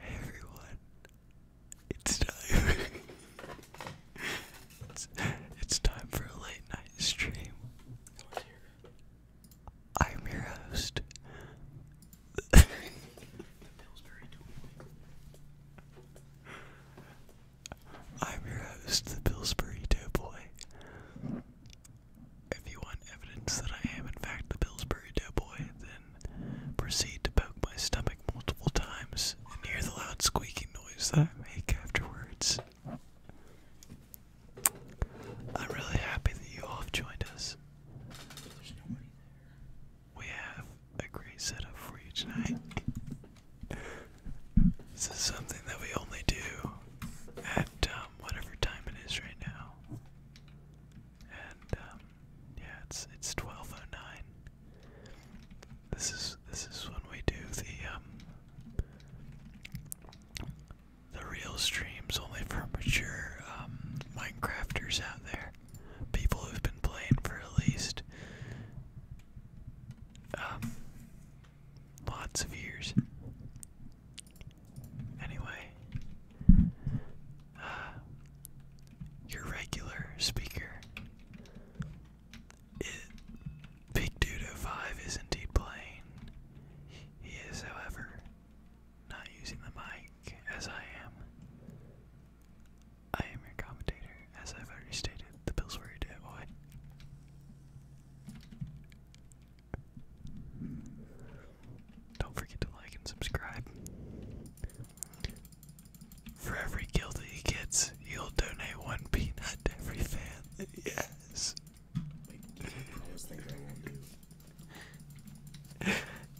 Hey everyone, it's time. it's, time for a late night stream. I'm your host. the Pillsbury Doughboy. I'm your host, the Pillsbury Doughboy. If you want evidence that I am, in fact, the Pillsbury Doughboy, then proceed to poke my stomach multiple times and hear the loud squeaking noise that I make afterwards. I'm really happy that you all have joined us. We have a great setup for you tonight. this is something that we only do at um, whatever time it is right now. And um, yeah, it's it's twelve oh nine. This is this is when we do the um, the real streams only for mature um, Minecrafters out there. People who've been playing for at least um, lots of years. Anyway, uh, your regular speaker, it, Big 05 is indeed playing. He is, however, not using the mic as I am. I am your commentator, as I've already stated, the Pillsbury Doughboy. Don't forget to like and subscribe. For every kill that he gets, you'll donate one peanut to every fan Yes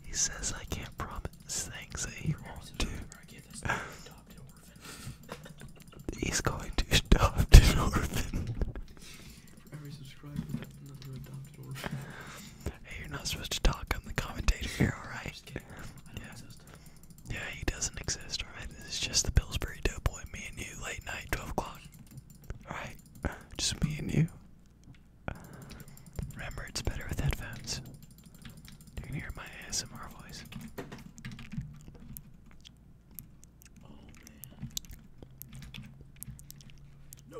he says I can't promise things that he won't do. He's going to adopt an orphan. For Hey, you're not supposed to talk. I'm the commentator here, alright? Yeah. yeah, he doesn't exist, alright? This is just the Pillsbury Doughboy, me and you, late night, 12 o'clock. Alright? Just me and you. Remember, it's better with headphones. You hear my ASMR voice. Oh man. No.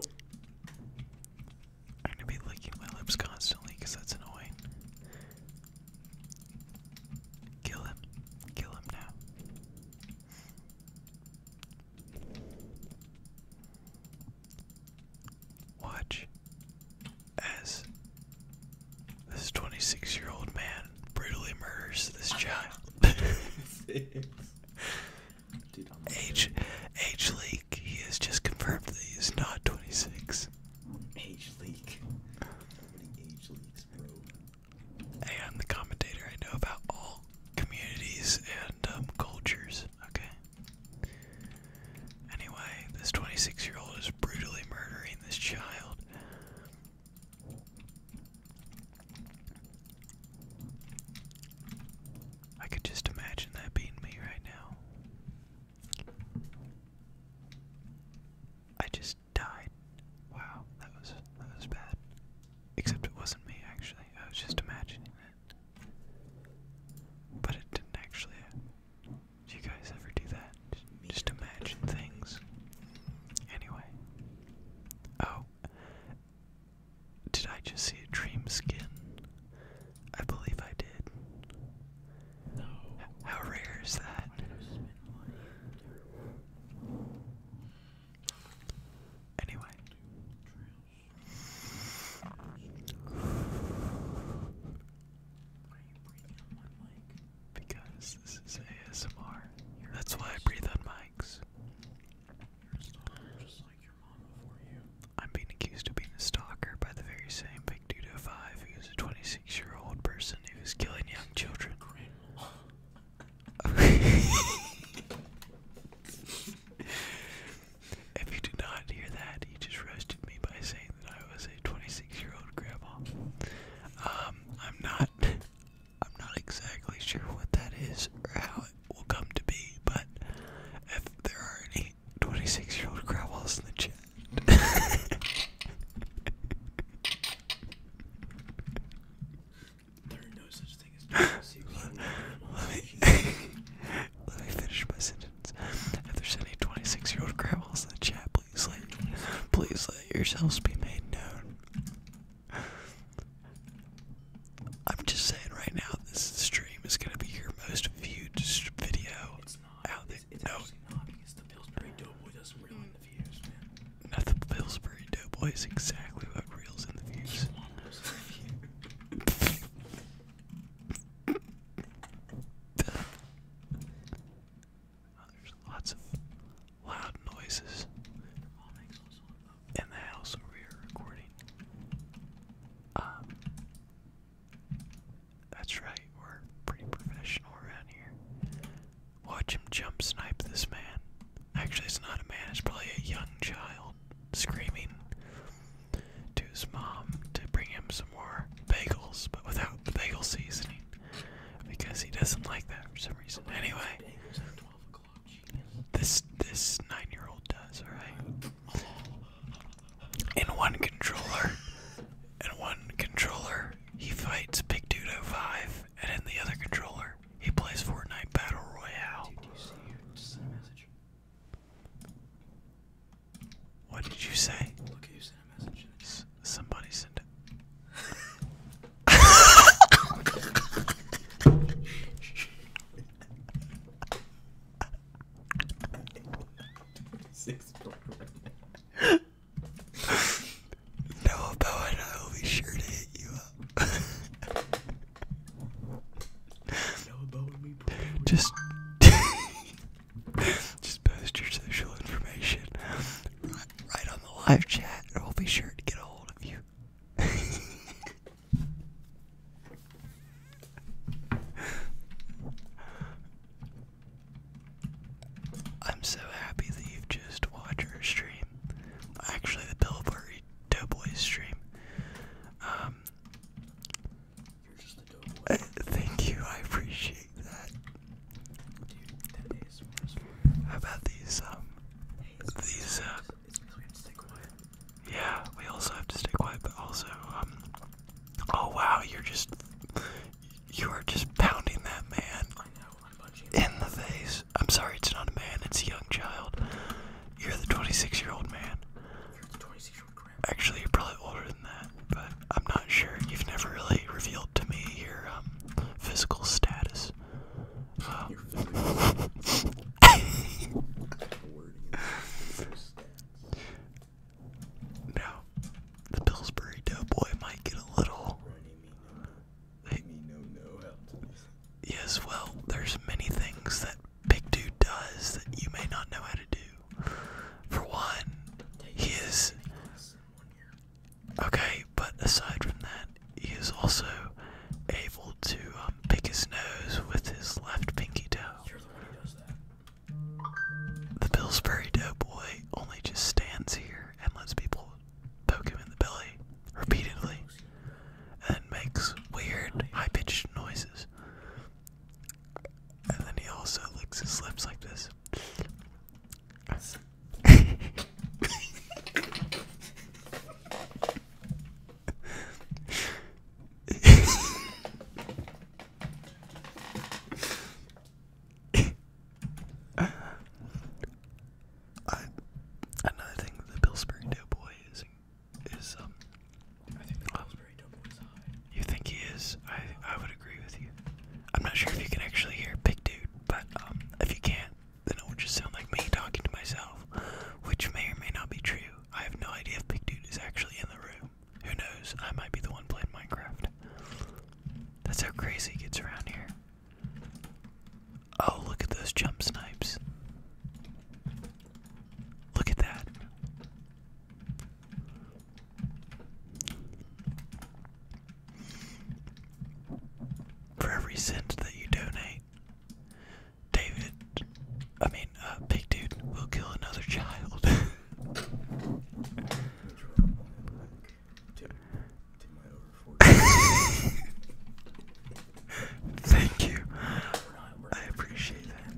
I'm gonna be licking my lips constantly that's annoying. Kill him. Kill him now. Watch as this 26 year old man brutally murders this child. Dude, age, age leak. He has just confirmed that he is not 26. Age leak. Hey, I'm the commentator. I know about all communities cultures. Okay. Anyway, this 26 year old is brutally murdering this child. I could just imagine that being me right now. I just died. Wow, that was that was bad. Except it wasn't me actually. I was just imagining but it didn't actually. Do you guys ever do that? Just imagine things. Anyway. Oh. Did I just see a dream skin? I believe I did. No. How rare is that? Anyway. Because this is ASMR. That's why I breathe on mics. I'm being accused of being a stalker by the very same big dude of five who's a 26 year old person who's killing young children. if you did not hear that, he just roasted me by saying that I was a 26-year-old grandma. Um, I'm not. I'm not exactly sure what that is or how it will come to be, but if there are any 26-year-old grandmas in the chat. let, me, finish my sentence. If there's any 26 year old grandmas in the chat, please let, please let yourselves be made known. I'm just saying right now, this stream is going to be your most viewed video it's not, out there. It's, it's no. actually not because the Pillsbury Doughboy doesn't reel in the views, man. Not the Pillsbury Doughboy is exactly what reels in the views. You want those in the views there's lots of loud noises in the house where we recording. Um, that's right, we're pretty professional around here. Watch him jump snipe this man. Actually, it's not a man, it's probably a young child screaming to his mom to bring him some more bagels, but without the bagel seasoning because he doesn't like that for some reason. Anyway, this this nine-year-old does all right. In one controller, in one controller, he fights Big Dudo oh Five, and in the other controller, he plays Fortnite Battle Royale. What did you say? somebody sent it. Six right now. I'll be sure to hit you up. just just post your social information right, on the live chat and we'll be sure to get a hold of you I'm so happy that you've just watched our stream. Actually, the teleporter Street stream. Um, uh, thank you, I appreciate that. How about these, um, these, uh, Yeah, we also have to stay quiet, also, um, oh wow, you're just, you are just pounding that man in the face. I'm sorry, it's not a man, it's a young child. You're the 26 year old man. Actually, you're probably older than that, but I'm not sure. You've never really revealed to me your um, physical status. Um, the Pillsbury Doughboy might get a little. Yes, well, there's many things that Big Dude does that you may not know how to do. For one, he is. Okay, but aside from that, he is also able to um, pick his nose with his left pinky toe. the one who does that. The Pillsbury Doughboy only just stands here and lets people poke him in the belly repeatedly and makes weird high pitched noises. And then he also licks his lips like this. I, another thing the Pillsbury Doughboy is um, you think he is? I I would agree with you. I'm not sure if you can actually hear Big Dude, but um, if you can't, then it would just sound like me talking to myself, which may or may not be true. I have no idea if Big Dude is actually in the room. Who knows? I might be the one playing Minecraft. That's how crazy it gets around here. Oh, look at those jump snipes. Look at that. For every cent that you donate, David, I mean, uh, Big Dude, will kill another child. Thank you. I appreciate that.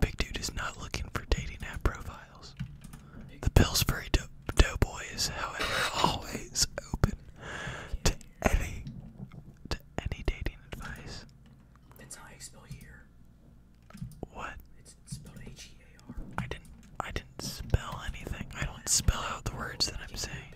Big dude is not looking for dating app profiles. The Pillsbury do Doughboy is, however, always open to any to any dating advice. That's how I spell here. What? It's E A R. I didn't. I didn't spell anything. I don't spell out the words that I'm saying.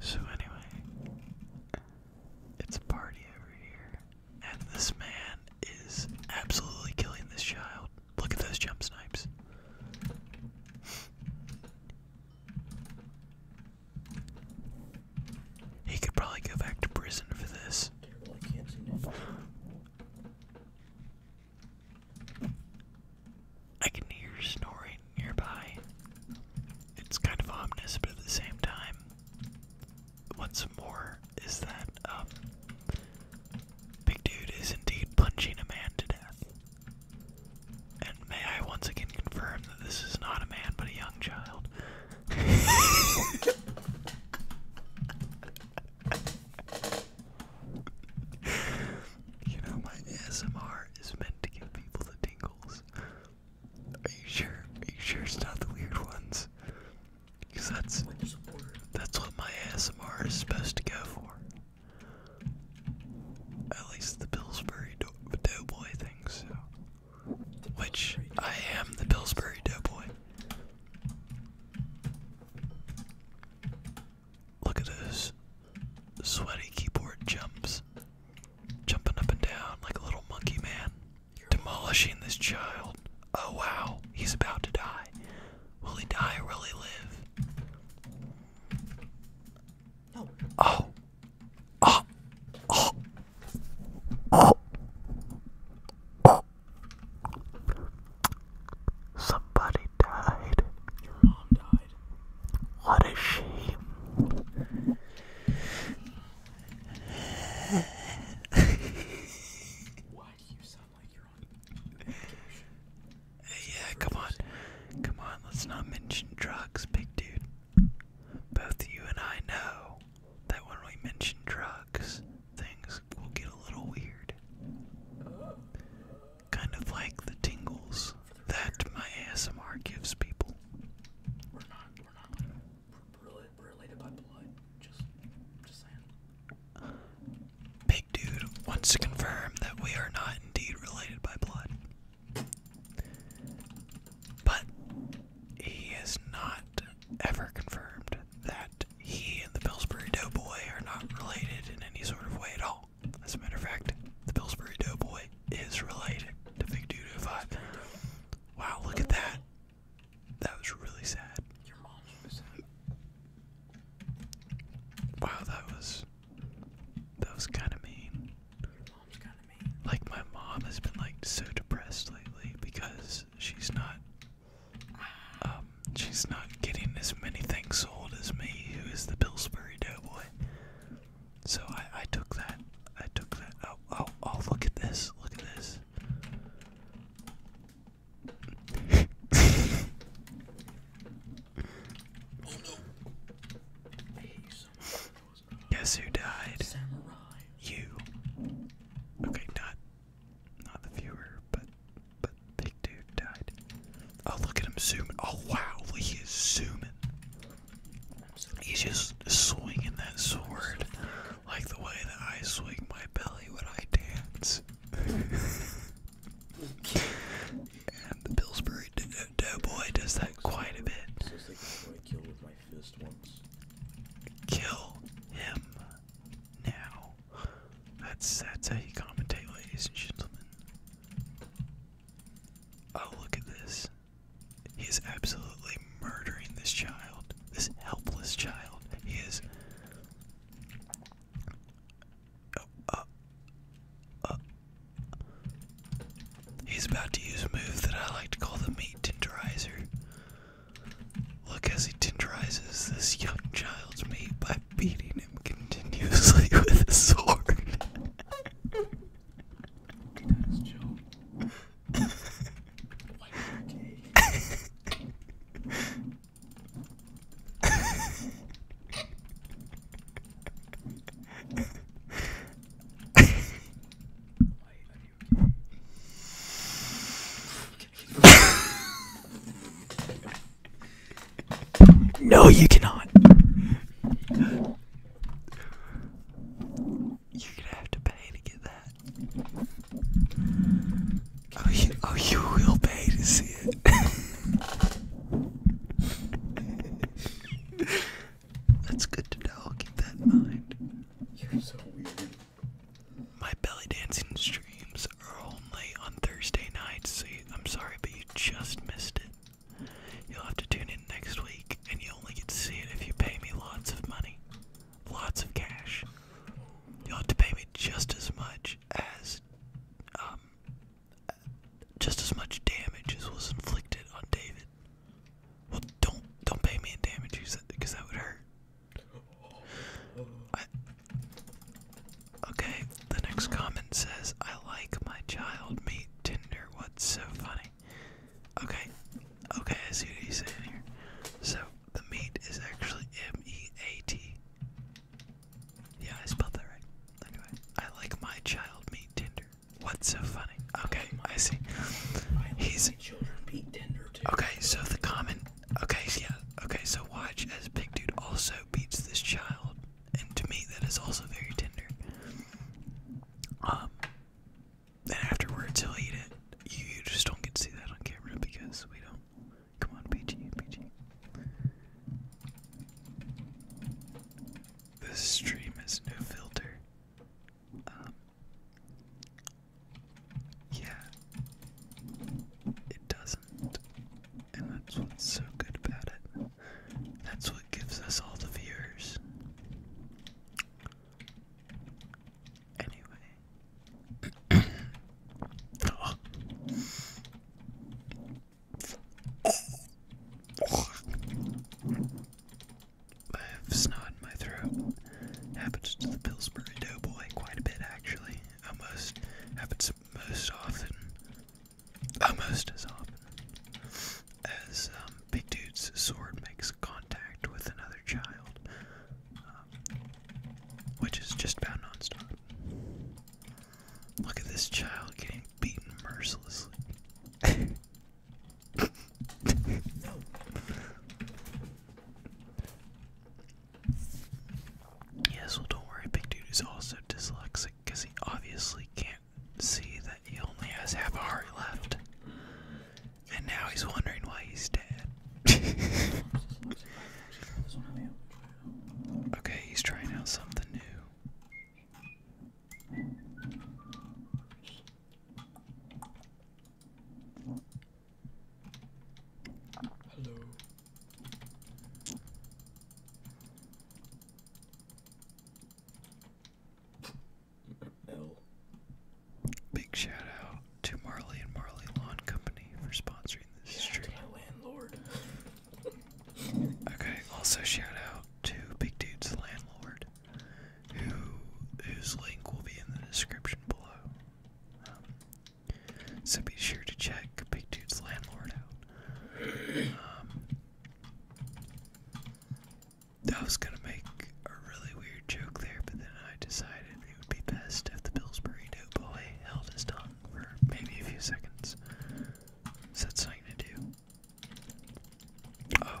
So anyway, it's a party over here, and this man is absolutely killing this child. Look at those jump snipes. He could probably go back to prison for this. I can hear snoring nearby. It's kind of ominous, but at the same time, what's more is that um, Big Dude is indeed punching a man to death. And may I once again confirm that this is not a man but a young child. you know, my ASMR is meant to give people the tingles. Are you sure? Are you sure it's not the weird ones? Because that's, that's what my ASMR is supposed to go for. At least the Pillsbury Doughboy thing, so. Which, I am the Pillsbury Doughboy. Look at this sweaty keyboard jumps, jumping up and down like a little monkey man, demolishing this child. Oh wow, he's about to die. Will he die or will he live? Oh. Oh. Oh. Oh. Somebody died. Your mom died. What a shame. Why do you sound like you're on vacation? Yeah, come on. Come on, let's not mention drugs, big dude. Both you and I know that when we mention drugs, things will get a little weird. Kind of like the tingles that my ASMR gives people. Big dude wants to confirm that we are not indeed related by blood. But he is not ever confirmed that he and the Pillsbury Doughboy are not related in any sort of way at all. As a matter of fact, the Pillsbury Doughboy is related to Big Doo 5. Wow, look at that. That was really sad. Your mom was sad. Wow, that was that was kind of mean. Like my mom has been like so depressed lately because she's not um, she's not getting as many things sold as me, who is the Pillsbury Doughboy. So I, I took that. I took that. Oh, oh, oh, look at this. Look at this. oh no. Guess who died? You. Okay, not not the viewer, but but big dude died. Oh look at him zooming! Oh wow, he is zooming. He's just swinging that sword like the way that I swing my belly when I dance. and the Pillsbury Doughboy does that quite a bit. Kill him now. That's that's how you commentate, ladies and gentlemen. Oh, look at this. He is absolutely murdering this child, this helpless child. He is. Oh, uh, He's about to use a move that I like to call the meat tenderizer. Look as he tenderizes this young child's meat by beating him continuously with his sword. No, you cannot. You're gonna have to pay to get that. Oh, you, oh, you will pay to see it. That's good to know. keep that in mind. My belly dancing streams are only on Thursday nights, so I'm sorry, but you just missed it. You'll have to tune in next week, and you only get to see it if you pay me lots of money. Lots of cash. You'll have to pay me just as much as, um, just as much damage as was inflicted on David. Well, don't don't pay me in damage because that would hurt okay, the next comment says, I like my child meat Tinder. What's so funny? Okay, okay, I see what he's saying here. So, the meat is actually M E A T. Yeah, I spelled that right. Anyway, I like my child meat Tinder. What's so funny? Okay, I see. He's. Okay, so the comment Okay, yeah. Okay, so watch as Big Dude also beats this child, and to me that is also very tender. Um, then afterwards he'll eat it. You, just don't get to see that on camera because we don't. Come on, PG, PG. This stream is no filter. Um, yeah, it doesn't. And that's what's so good about it. That's what gives us all the viewers. Anyway. I have snot in my throat. Happens to the Pillsbury Doughboy quite a bit, actually. Almost happens most often, almost as often as um, Big Dude's sword makes contact with another child, um, which is just about nonstop. Look at this child getting beaten mercilessly. Yes, well, don't worry, Big Dude is also dyslexic because he obviously can't see that he only has half a heart left. And now he's wondering why he's dead. okay, he's trying out something new. Hello. L. Big shout out to Marley and Marley Lawn Company for sponsoring this stream. okay. Also shout out to Big Dude's landlord, who whose link will be in the description below. Um, so be sure to check Big Dude's landlord out. Um, I was gonna make a really weird joke there, but then I decided it would be best if the Pillsbury Doughboy held his tongue for maybe a few seconds. Is something to do? Oh.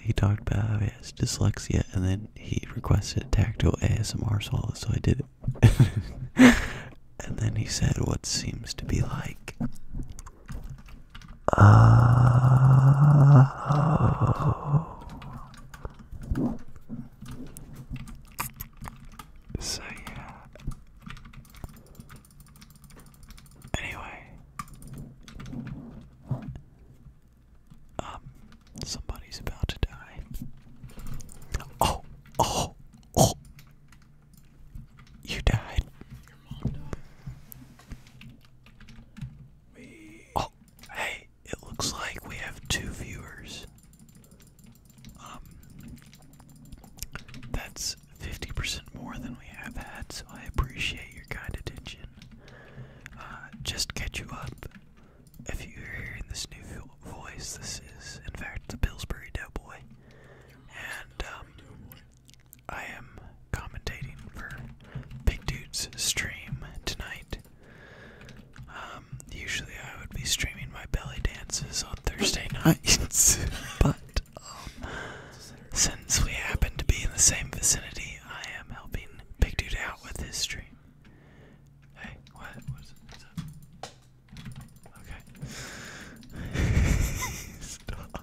he talked about his dyslexia and then he requested tactile ASMR solo, so I did it. and then he said what seems to be like. Uh, oh. so yeah. Anyway, um, somebody's about to die. Oh, oh, oh! You died. Oh, hey! It looks like we have two viewers. Um, that's 50% more than we have had, so I appreciate your kind attention. Uh, just catch you up. If you're hearing this new voice, this is, in fact, the Pillsbury Doughboy. And, um, I am commentating for Big Dude's stream tonight. Um, usually I would be streaming my belly dances on Thursday nights, but um, since we happen to be in the same vicinity, I am helping Big Dude out with his stream. Hey, what? What's, up? Okay. Stop.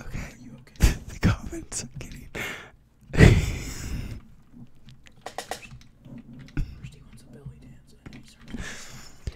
okay, the comments are getting. First he wants a belly dance, and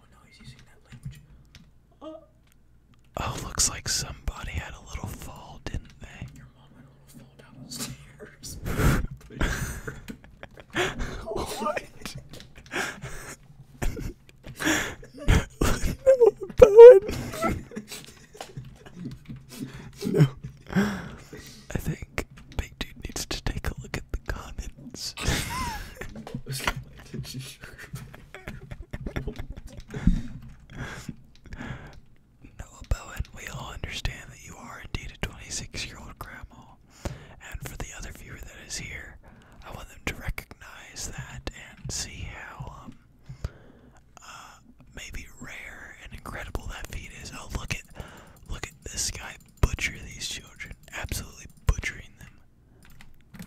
Oh, uh, oh looks like somebody had a little fall, didn't they? Your mom had a little down the stairs. what? no, I think dude needs to take a look at the comments. Noah Bowen, we all understand that you are indeed a 26 year old grandma. And for the other viewer that is here, I want them to recognize that and see how um, uh, maybe rare and incredible that feat is. Oh, look at look at this guy butcher these children, absolutely butchering them.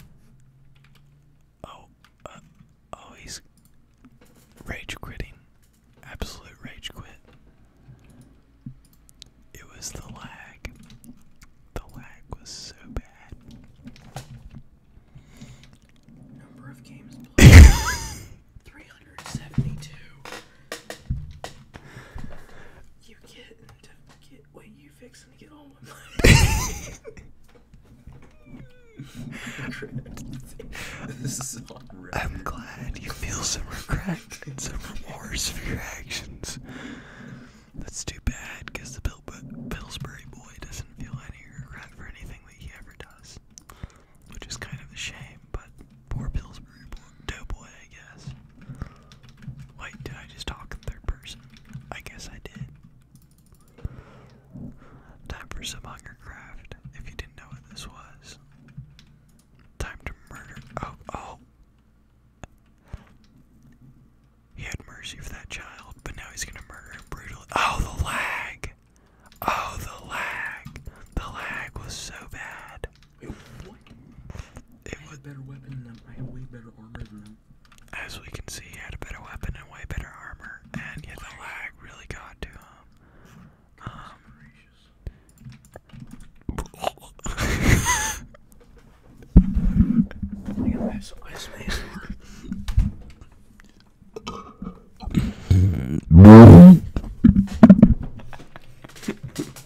Oh, uh, oh, he's rage quitting, absolute rage quit. It was the lag. The lag was so bad. Number of games played 372. You get right. I'm glad you feel some regret and some remorse for your actions. That's too bad because the Bil Pillsbury boy doesn't feel any regret for anything that he ever does, which is kind of a shame. But poor Pillsbury. Devil's Doughboy, I guess. Wait, did I just talk third person? I guess I did. Time for some hunger craft. If you didn't know what this was, time to murder. Oh, oh. He had mercy for that child, but now he's gonna murder him brutally. Oh, the lag! Oh, the lag! The lag was so bad. Wait, what? It I had better weapon than them. way better armor As we can see, he had a better weapon and way better armor, and yet the lag really got to him. Um.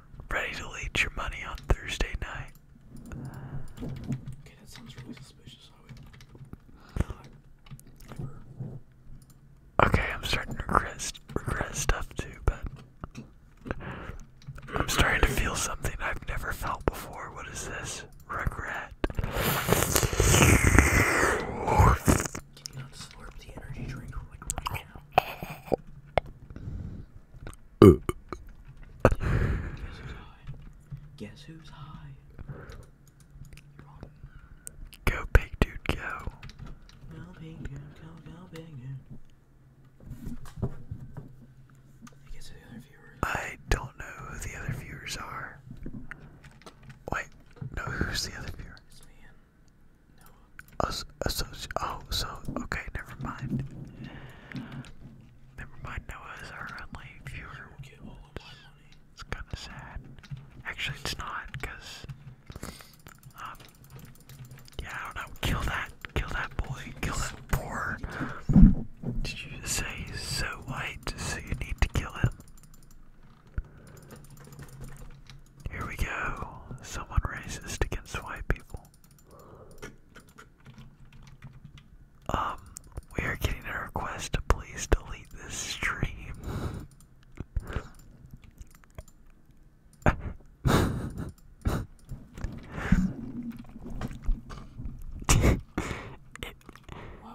ready to leech your money on Thursday night. Okay, that sounds really suspicious. Okay, I'm starting to regret, regret stuff too, but I'm starting to feel something I've never felt before. What is this? Regret. Guess who's high? Guess who's high? Go big dude, go. Go big dude, go, go big dude. I guess the other viewers. I don't know who the other viewers are. Wait, no, who's the other viewer? It's me and oh, so okay, never mind. Never mind. Noah our only viewer. Get all of my money. It's kind of sad. Actually, it's not, cause um, yeah, I don't know. Kill that, kill that boy, kill that poor. Did you say he's so white? So you need to kill him. Here we go. Someone racist against white people. Um, we are getting a request to please delete this stream. why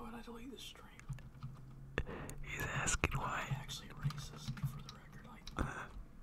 would I delete this stream? He's asking why.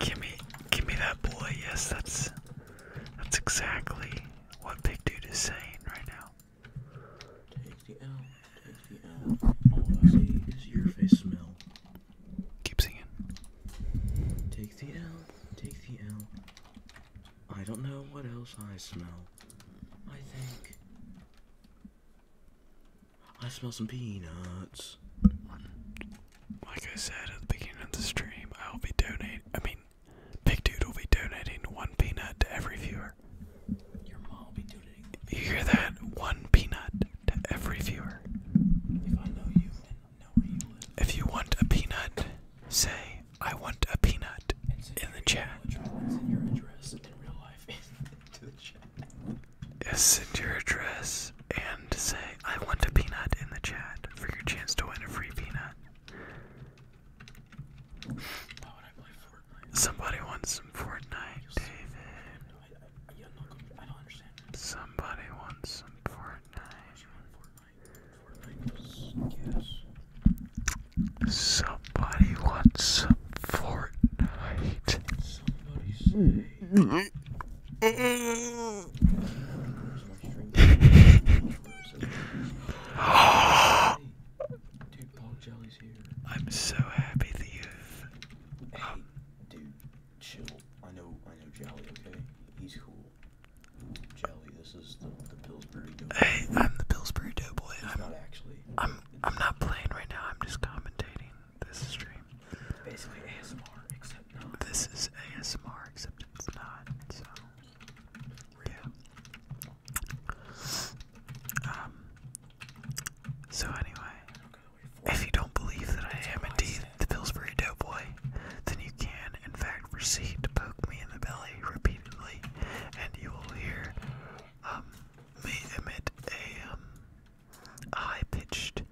give me, give me that boy. Yes, that's, that's exactly what Big Dude is saying right now. Take the L, take the L. All I see is your face smell. Keep singing. Take the L, take the L. I don't know what else I smell. I think I smell some peanuts like I said at the beginning of the stream, I'll be donating. I mean, Big Dude will be donating one peanut to every viewer. Your mom will be donating. You hear that? One peanut to every viewer. If I know you and know where you live. If you want a peanut, say, I want a peanut in the chat. Send your address in real life to the chat. Yes, send your address and say, I want a peanut in the chat for your chance to win a free peanut. Somebody wants some Fortnite, David. Somebody wants some Fortnite. Somebody wants some Fortnite. I'm so happy that you've. Hey, I know, I know Jolly, okay? He's cool. Jolly, this is the, Pillsbury Doughboy. Hey, I'm the Pillsbury Doughboy. I'm not actually. I'm, I'm not playing right now, I'm just commentating this stream. This is ASMR, except it's not. So, yeah. Um. So anyway, if you don't believe that I am indeed the Pillsbury Doughboy, then you can, in fact, proceed to poke me in the belly repeatedly, and you will hear um me emit a um high-pitched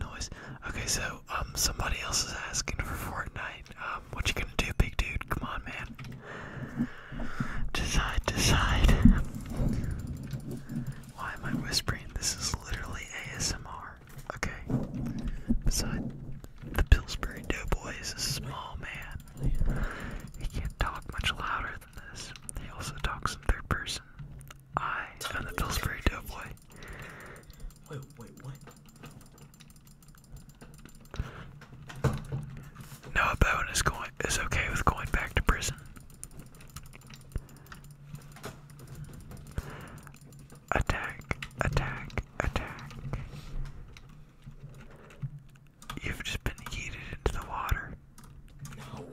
noise. Okay, so um, somebody else is asking for Fortnite. Um, what you gonna do, big dude? Come on, man. Decide, decide. Why am I whispering? This is literally ASMR. Okay. Beside the Pillsbury Doughboy is a small man. He can't talk much louder than this. He also talks in third person. I am the Pillsbury Doughboy guy. Wait, wait, what? Noah Bowen is going is okay with going back to prison. Attack, attack, attack. You've just been heated into the water. No.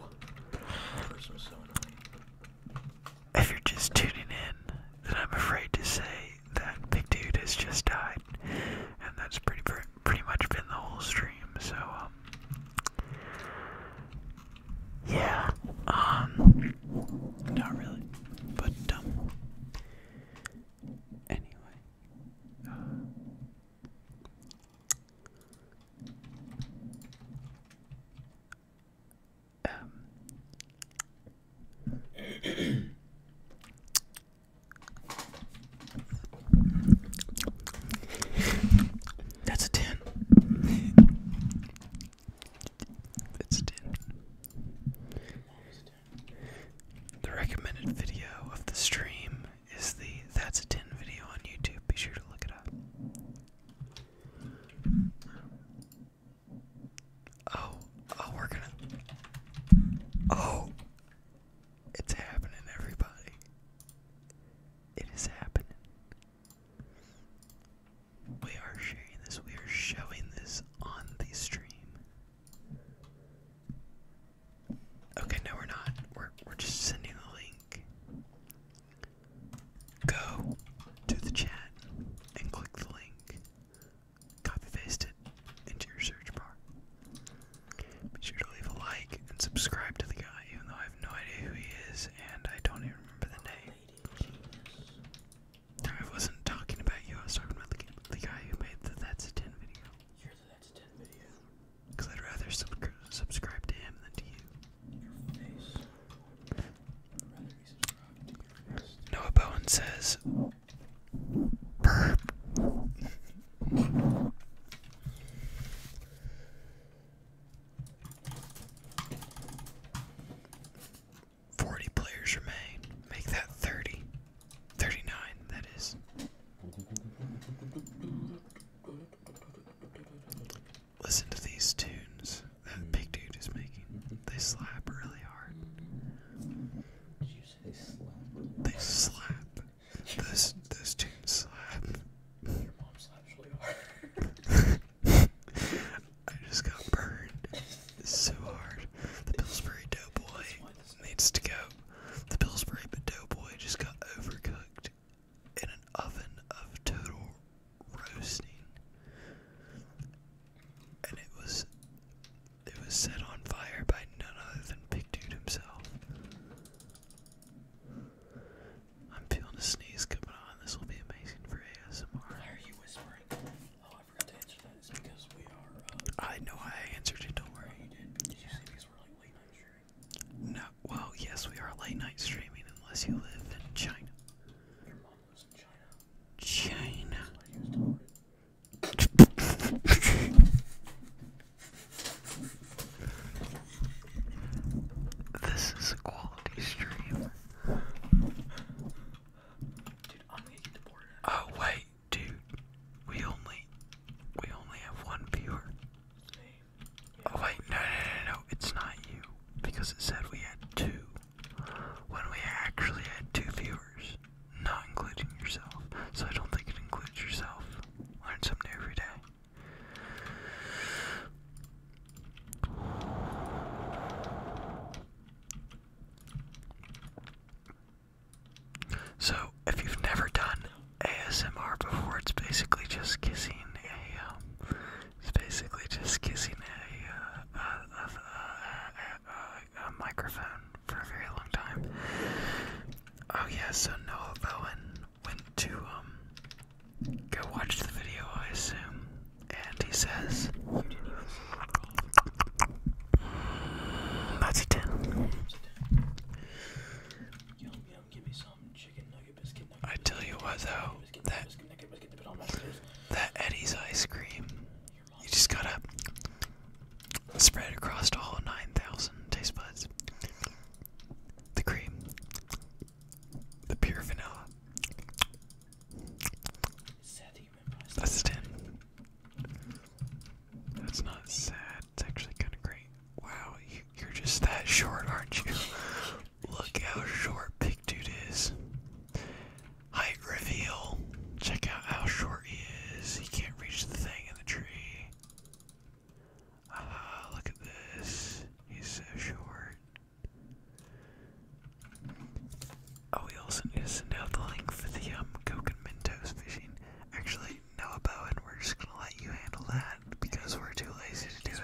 If you're just tuning in, then I'm afraid to say that Big Dude has just died, and that's pretty pretty much been the whole stream. So, um, yeah, um, not really, but um, anyway. Um, that's a ten. That's a ten. The recommended video of the stream is the That's a 10 video on YouTube. Be sure to look it up. Oh, oh, we're gonna. Oh, it's happening, everybody. It is happening. We are sharing this, we are showing this on the stream. Okay, no, we're not. We're, we're just sending the link. Go to the chat and click the link. Copy paste it into your search bar. Be sure to leave a like and subscribe to the guy, even though I have no idea who he is and I don't even remember the name. I wasn't talking about you, I was talking about the, guy who made the That's a 10 video. Because I'd rather subscribe to him than to you. Noah Bowen says, Burp. Forty players remain. Make that thirty. Thirty-nine, that is. Listen to these tunes that mm-hmm. big dude is making. Mm-hmm. They slap really hard. Did you say slap? They slap. Those those tunes slap. Your mom slaps really hard. I just got burned so hard. The Pillsbury Doughboy needs to go. The Pillsbury Doughboy just got overcooked in an oven of total roasting, and it was it was set on fire by none other than Big Dude himself. I'm feeling a sneeze coming on. This will be amazing for ASMR. Why are you whispering? Oh, I forgot to answer that. It's because we are. Uh, I know I answered it. Don't worry. Oh, you did. No. Well, yes, we are late night streaming unless you live in China. China. this is a quality stream. Oh wait, dude. We only we only have one viewer. Oh wait, no, no, no, no, it's not you, because it said we had two, when we actually had two viewers, not including yourself, so I don't think it includes yourself. Learn something every day. So, if you've never done ASMR before, it's basically just kissing a um, it's basically just kissing uh, a, microphone for a very long time. Oh yeah, so Noah Bowen went to um, go watch the video, I assume, and he says That's it." I tell you what though, that Eddie's ice cream, you just gotta spread across all nine thousand taste buds. The cream, the pure vanilla. That's ten. That's not sad. It's actually kind of great. Wow, you're just that short, aren't you? Look how short Big Dude is. Height reveal. Check out how short he is. He can't reach the thing in the tree. Ah, look at this. He's so short. Oh, we also need to send out the link for the um, Coke and Mentos fishing. Actually, no, and we're just gonna let you handle that because we're too lazy to do it.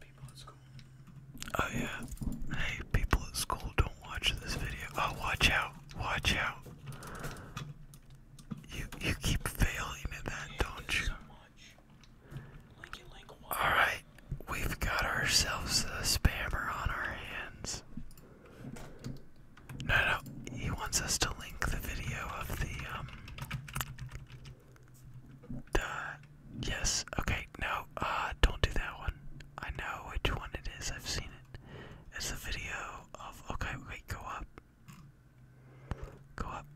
People at school. Oh yeah. Hey, people at school, don't watch this video. Oh, watch out! Watch out! You you keep failing at that, don't you? All right, we've got ourselves a spammer on our hands. No, no, he wants us to link the video of the um Duh. Yes. Okay. No. Uh, don't do that one. I know which one it is. I've seen it. It's the video of. Okay. Wait. Go up. Go up.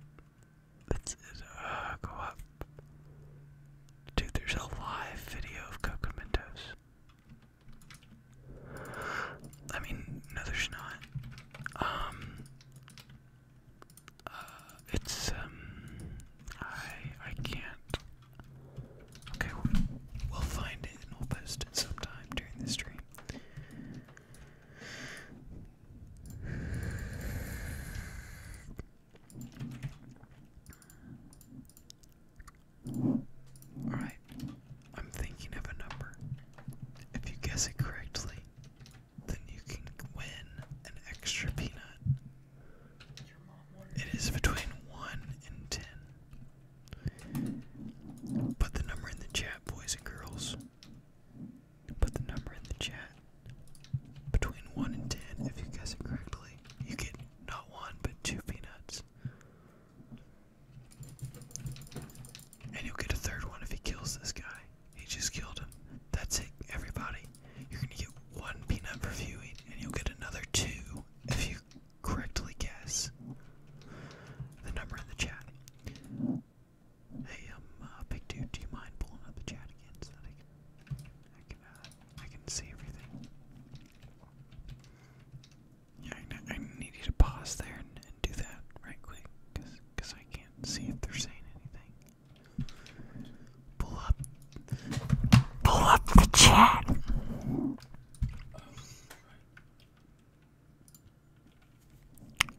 That's it. Uh, go up. Dude, there's a live video of Coco Mentos. I mean, no, there's not. Um. Uh, it's um, I I can't. Okay, we'll, find it and we'll post it sometime during the stream. Alright, I'm thinking of a number. If you guess it correctly, then you can win an extra peanut it is between 1 and 10. Put the number in the chat, boys and girls. Put the number in the chat. Between 1 and 10, if you guess it correctly, you get not one, but two peanuts. And you'll get a third one if he kills this guy. He just killed him. That's it, everybody. You're gonna get one peanut for viewing, and you'll get another two if you correctly guess the number in the chat. Hey, um, uh, big dude, do you mind pulling up the chat again so that I can, I can, uh, I can see everything? Yeah, I, need you to pause there and do that right quick, cause, cause I can't see if they're saying anything. Pull up. Pull up the chat.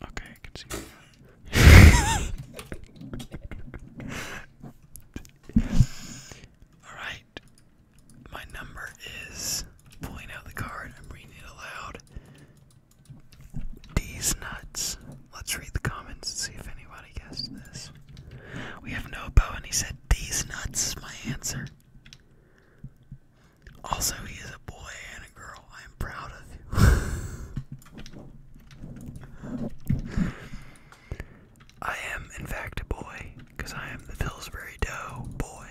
Okay, I can see. All right. My number is pulling out the card. I'm reading it aloud. These nuts Let's read the comments and see if anybody guessed this. We have Nopo, and he said, These nuts, my answer. Also, he is a boy and a girl. I am proud of you. I am, in fact, a boy, because I am the Pillsbury Dough boy.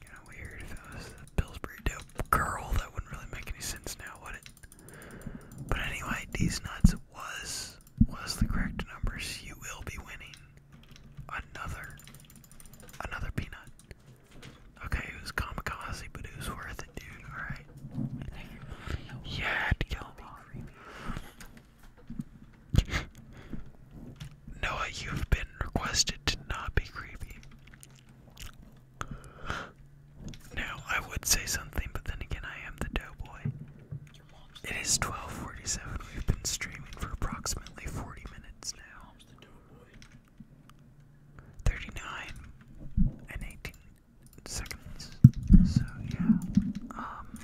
Kind of weird if it was the Pillsbury Dough girl. That wouldn't really make any sense now, would it? But anyway, these nuts was was the correct numbers, you will be winning another another peanut. Okay, it was kamikaze, but it was worth it, dude. All right. Yeah, kill me. Noah, you've been requested to not be creepy. Now, I would say something, but then again, I am the doughboy. It is 1247. We've been streaming for approximately 40 minutes now. 39 and 18 seconds. So, yeah. Um.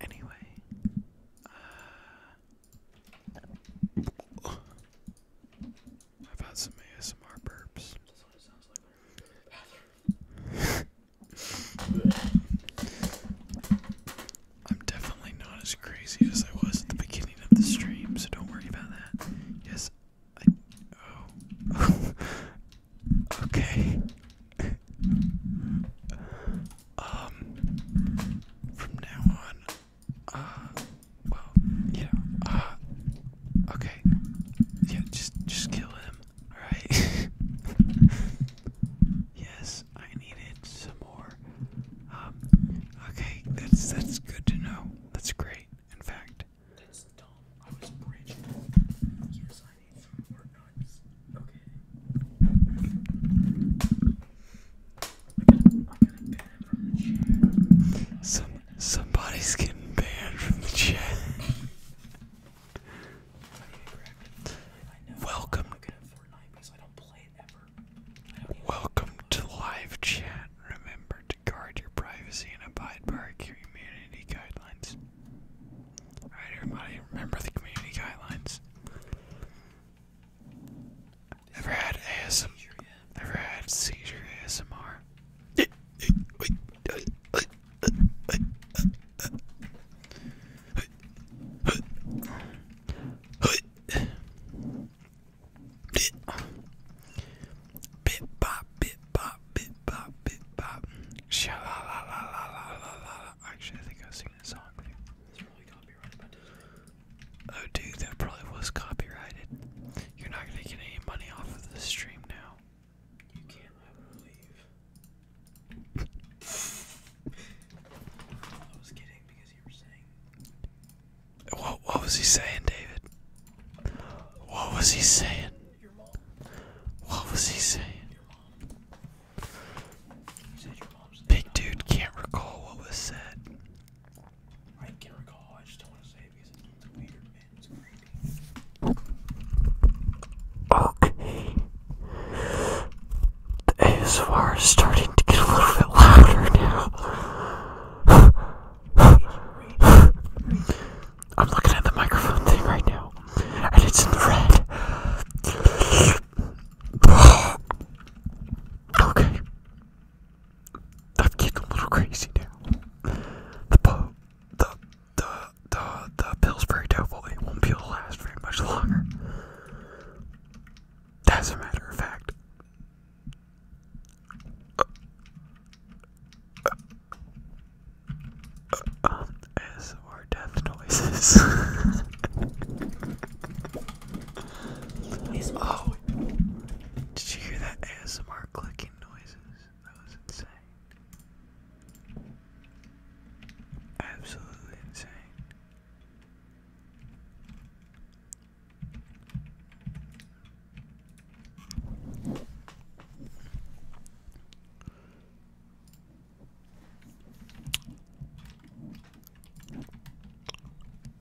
Anyway. Uh, I've had some ASMR burps. I'm definitely not as crazy as I was at the beginning of the stream, so don't worry about that. Yes, I. Oh. okay. um. From now on, uh, well, yeah. Uh, okay. Yeah, just just kill him. All right. yes, I needed some more. Um. Okay, that's that's good to know. That's great. In fact. That's dumb. I was bridged. Yes, I need some more nuts. Okay. Some Somebody's getting banned from the chat. Welcome. Welcome to live chat. Remember to guard your privacy and abide by our community guidelines. Alright, everybody, remember the community guidelines. Ever had ASM Never had seizure ASMR. Bit bop, bit bop, bit bop, bit bop. Sha la la la la la la la. Actually, I think I was singing a song. It's really copyrighted. Oh, dude, that probably was copyrighted. You're not gonna get any money off of this stream now. You can't I I was kidding because you were saying What what was he saying, David? What was he saying? What was he saying? Big dude can't recall what was said. I can't recall. I just don't want to say because it's weird and it's creepy. Okay. The ASMR is starting to get a little bit louder now. I'm looking at the microphone thing right now, and it's in red. okay. I've getting a little crazy now. The po the the the Pillsbury Doughboy won't be able to last very much longer. As a matter of fact. Uh, death noises. oh, did you hear that ASMR clicking noise? That was insane. Absolutely insane.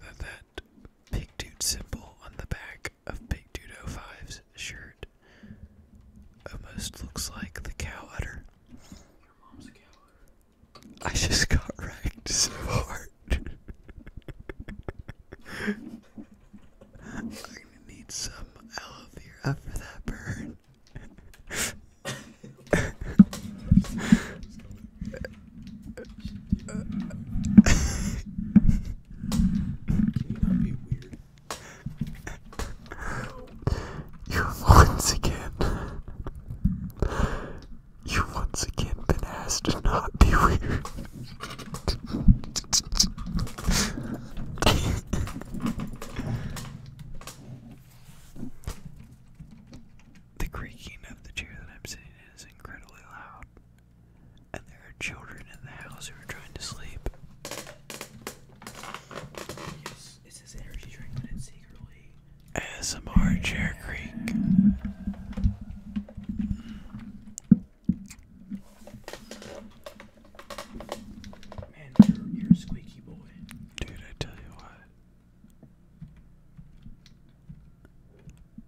that that Big Dude symbol on the back of pig Dude 05's shirt almost looks like the cow utter. Your mom's a cow I just got wrecked so hard. I'm gonna need some aloe vera for that burn. you not you once again. You once again been asked to not be weird. the creaking of the chair that I'm sitting in is incredibly loud and there are children in the house who are trying to sleep. Yes, it's his energy drink, but it's secretly ASMR Chair Creek. Man, you're, squeaky boy. Dude, I tell you what.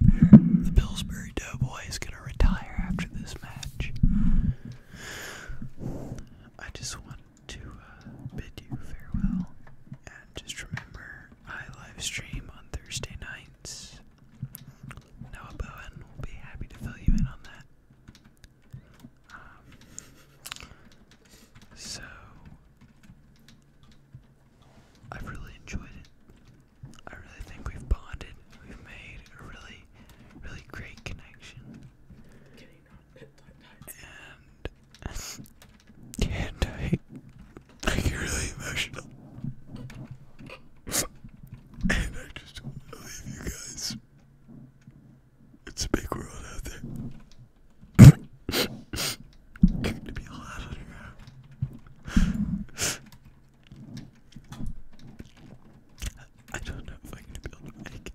The Pillsbury Doughboy is going to retire after this match. I just want to uh, bid you farewell and just remember I live stream on Thursday nights. Noah Bowen will be happy to fill you in on that. Um, so, I've really enjoyed it. I really think we've bonded. We've made a really, really great connection. and and I, I get really emotional. and I just want you guys. It's a big world out there. to be a I don't know if I'm gonna be able to make it.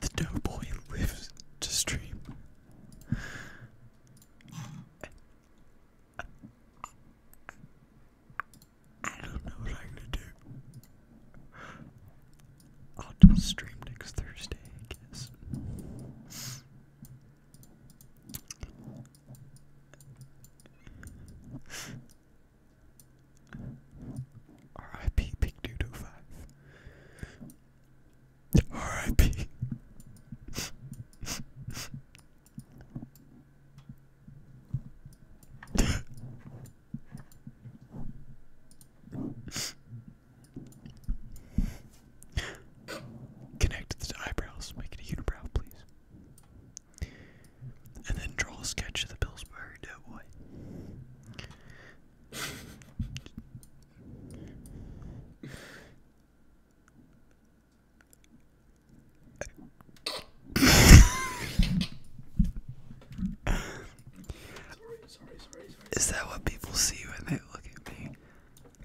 The doughboy lives to stream. I don't know what I'm gonna do. I'll do a stream next Thursday, I guess. R.I.P. Big Doodoo R.I.P. Connect the eyebrows, make it a unibrow, please. And then draw a sketch of the Pillsbury Doughboy. Is that what people see when they look at me?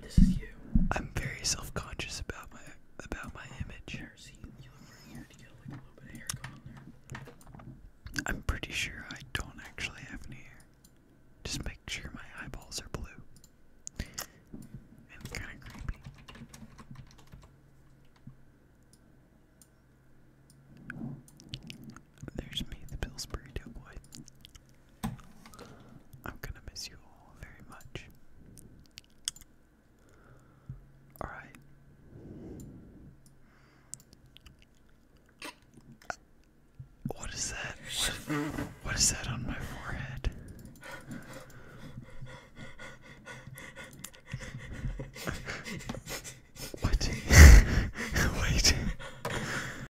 This is you. I'm very self-conscious about my about my image. Here, I'm pretty sure I don't actually have any hair. Just make sure my eyeballs are blue. And kind of creepy. There's me, the Pillsbury Doughboy. I'm gonna miss you all very much. Alright. What is that? what is that on my forehead? what? Wait.